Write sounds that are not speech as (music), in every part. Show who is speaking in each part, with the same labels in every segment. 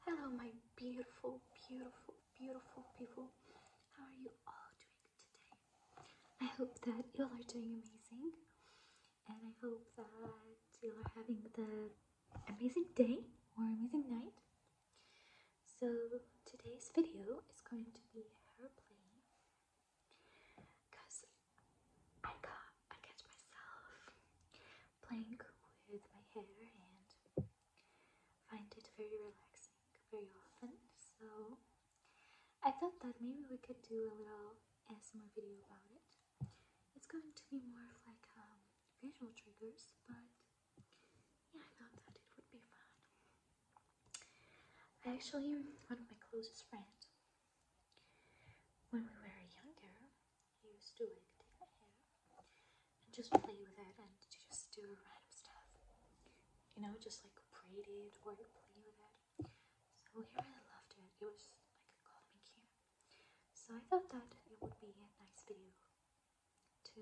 Speaker 1: Hello, my beautiful, beautiful, beautiful people. How are you all doing today? I hope that you all are doing amazing, and I hope that you are having the amazing day or amazing night. So today's video is going to be hair playing, cause I got I catch myself playing with my hair and find it very relaxing very often. So I thought that maybe we could do a little ASMR video about it. It's going to be more of like um, visual triggers, but yeah, I thought that it would be fun. I actually, one of my closest friends, when we were younger, used to like take my hair and just play with it and just do random stuff. You know, just like braid it or play with it. So here I loved it. It was like it cute. So I thought that it would be a nice video to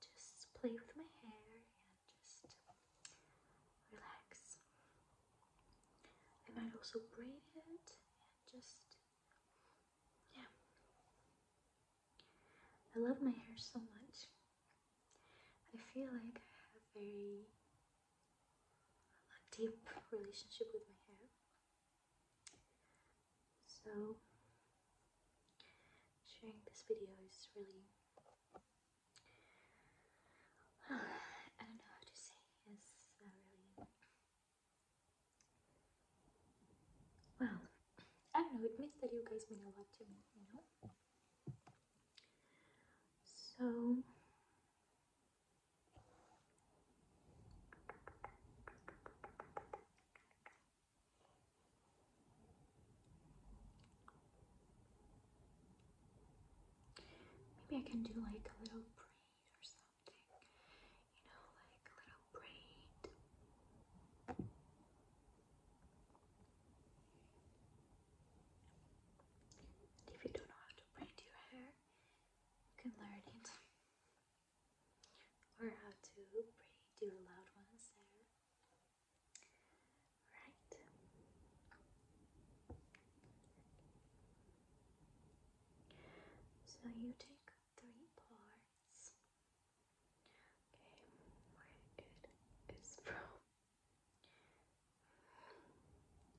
Speaker 1: just play with my hair and just relax. I might also braid it and just yeah. I love my hair so much. I feel like I have a very deep relationship with my hair. So sharing this video is really (sighs) I don't know how to say it's really well, I don't know, it means that you guys mean a lot to me, you know? So. Maybe I can do like a little braid or something something, you know, like little braid. if you don't know how to braid your hair, you can learn it. Or (laughs) how to braid your loud one's There. Right. So you take three parts. Okay, where it is from.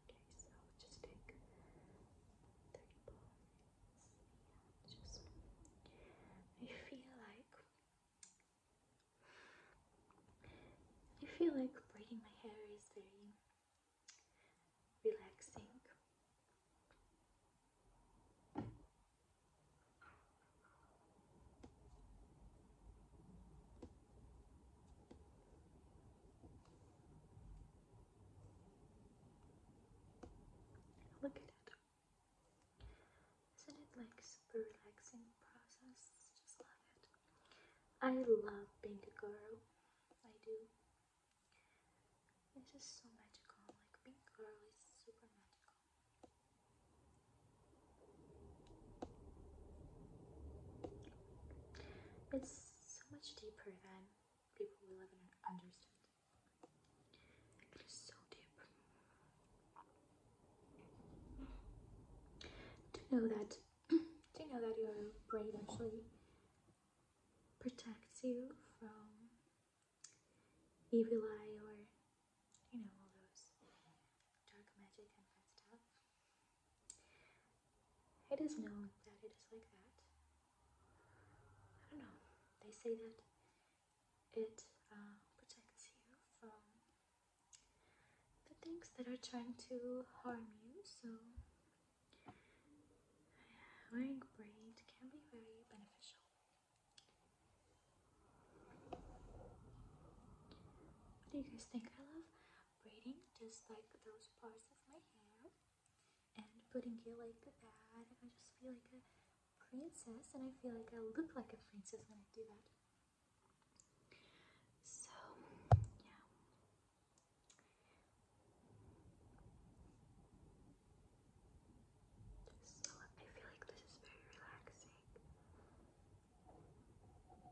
Speaker 1: Okay, so just take three parts. just I feel like I feel like braiding my hair is very relaxing. Look at it. Isn't it like super relaxing process? Just love it. I love being a girl. I do. This is so magical. Like pink girl is super magical. It's so much deeper than people will ever understand. It is so deep. To know that do you know that your braid actually protects you from evil eye or you know all those dark magic and fun stuff? It is known that it is like that. I don't know. They say that it uh, protects you from the things that are trying to harm you. So, wearing braid can be very beneficial. What do you guys think? I love braiding just like those parts of my hair and putting it like that. I just feel like a princess and I feel like I look like a princess when I do that. So, yeah. So, I feel like this is very relaxing. What do you guys think?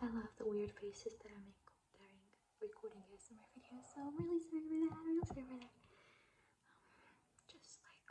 Speaker 1: I love the weird faces that I make during recording ASMR video, so I'm really sorry for that. I'm really sorry for that. Um, just like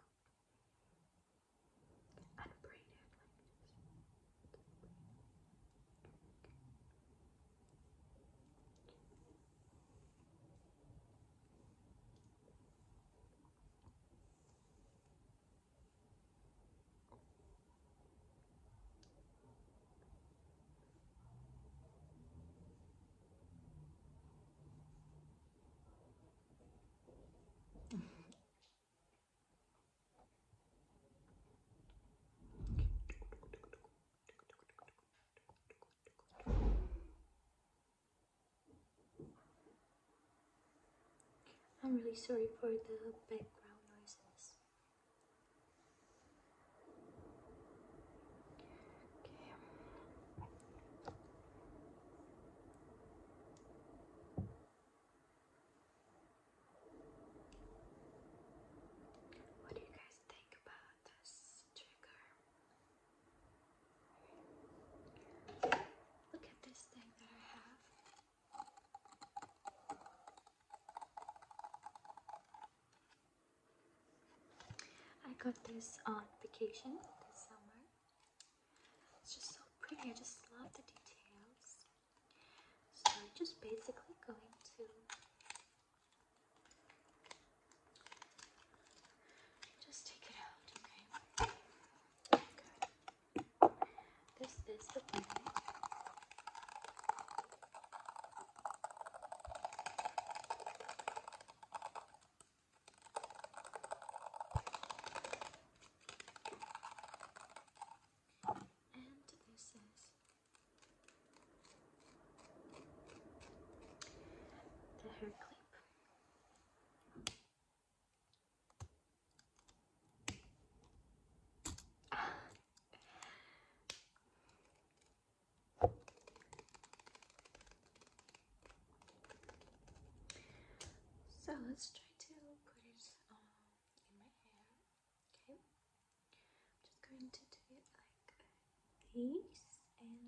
Speaker 1: I'm really sorry for the background noises. What do you guys think about this trigger? Look at this thing that I have. I got this on vacation this summer. It's just so pretty. I just love the details. So I'm just basically going to just take it out, okay? This is the planet. And this is the hair clip. So let's try to put it um, in my hair. Okay, I'm just going to do it like this, and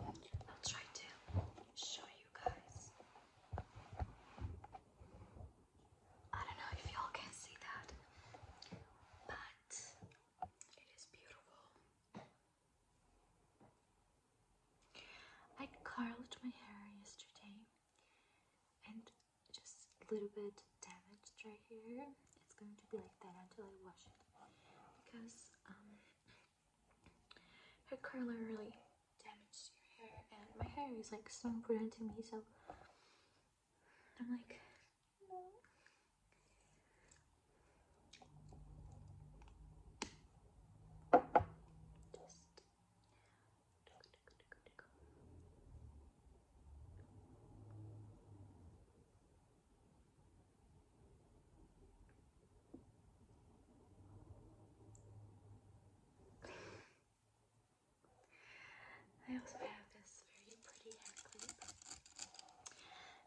Speaker 1: I'll try to show you guys. I don't know if y'all can see that, but it is beautiful. I curled my hair yesterday and just a little bit damaged right here. It's going to be like that until I wash it because um, Hair curler really damaged your hair, and my hair is like so important to me, so I'm like, I also have this very pretty hair clip.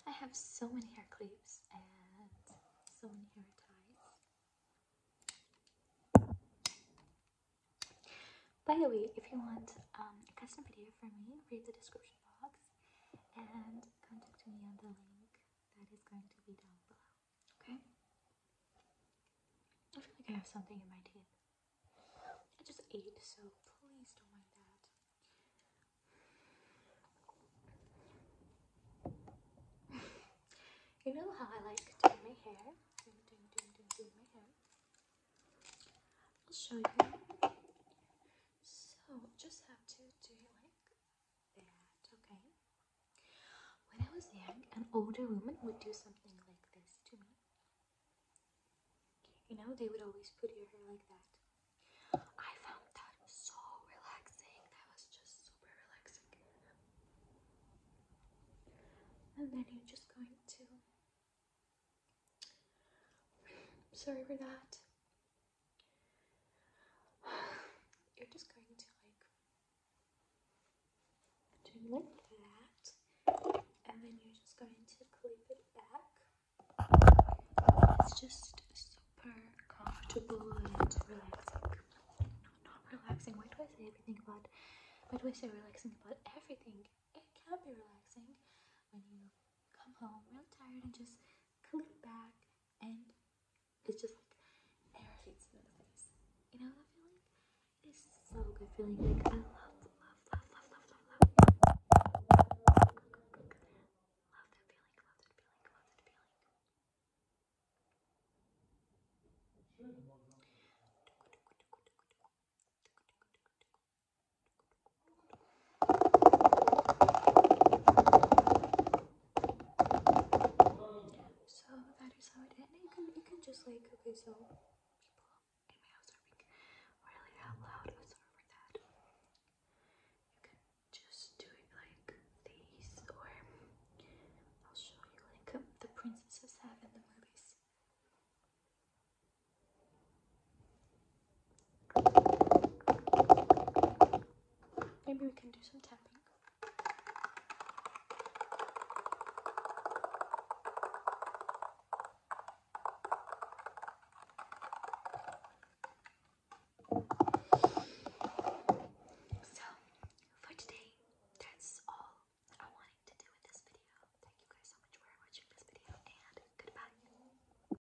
Speaker 1: I have so many hair clips and so many hair ties. By the way, if you want um, a custom video for me, read the description box and contact me on the link that is going to be down below. Okay? I feel like I have something in my teeth. I just ate, so please don't mind that. (laughs) you know how I like doing my hair. I'll show you. So, just have to do like that. Okay. When I was young, an older woman would do something like this to me. You know, they would always put your hair like that. I found that so relaxing. That was just super relaxing. And then you're just going to. (sighs) Sorry for that. (sighs) You're just going to like do like that, and then you're just going to clip it back. It's just super comfortable and relaxing. No, not relaxing. Why do I say everything about? Why do I say relaxing about everything? It can be relaxing when you come home real tired and just clip it back and it's just like air hits you in the face. You know that feeling? It's so good feeling. Like I love, love, love, love, love, love, love. Love that feeling. Love that feeling. Love that feeling. So that is how it is. You can you can just like okay, so people really loud or something that. You can just do it like these, or I'll show you like um, the princesses have in the movies. Maybe we can do some tapping. So, for today, that's all I wanted to do with this video. Thank you guys so much for watching this video, and goodbye.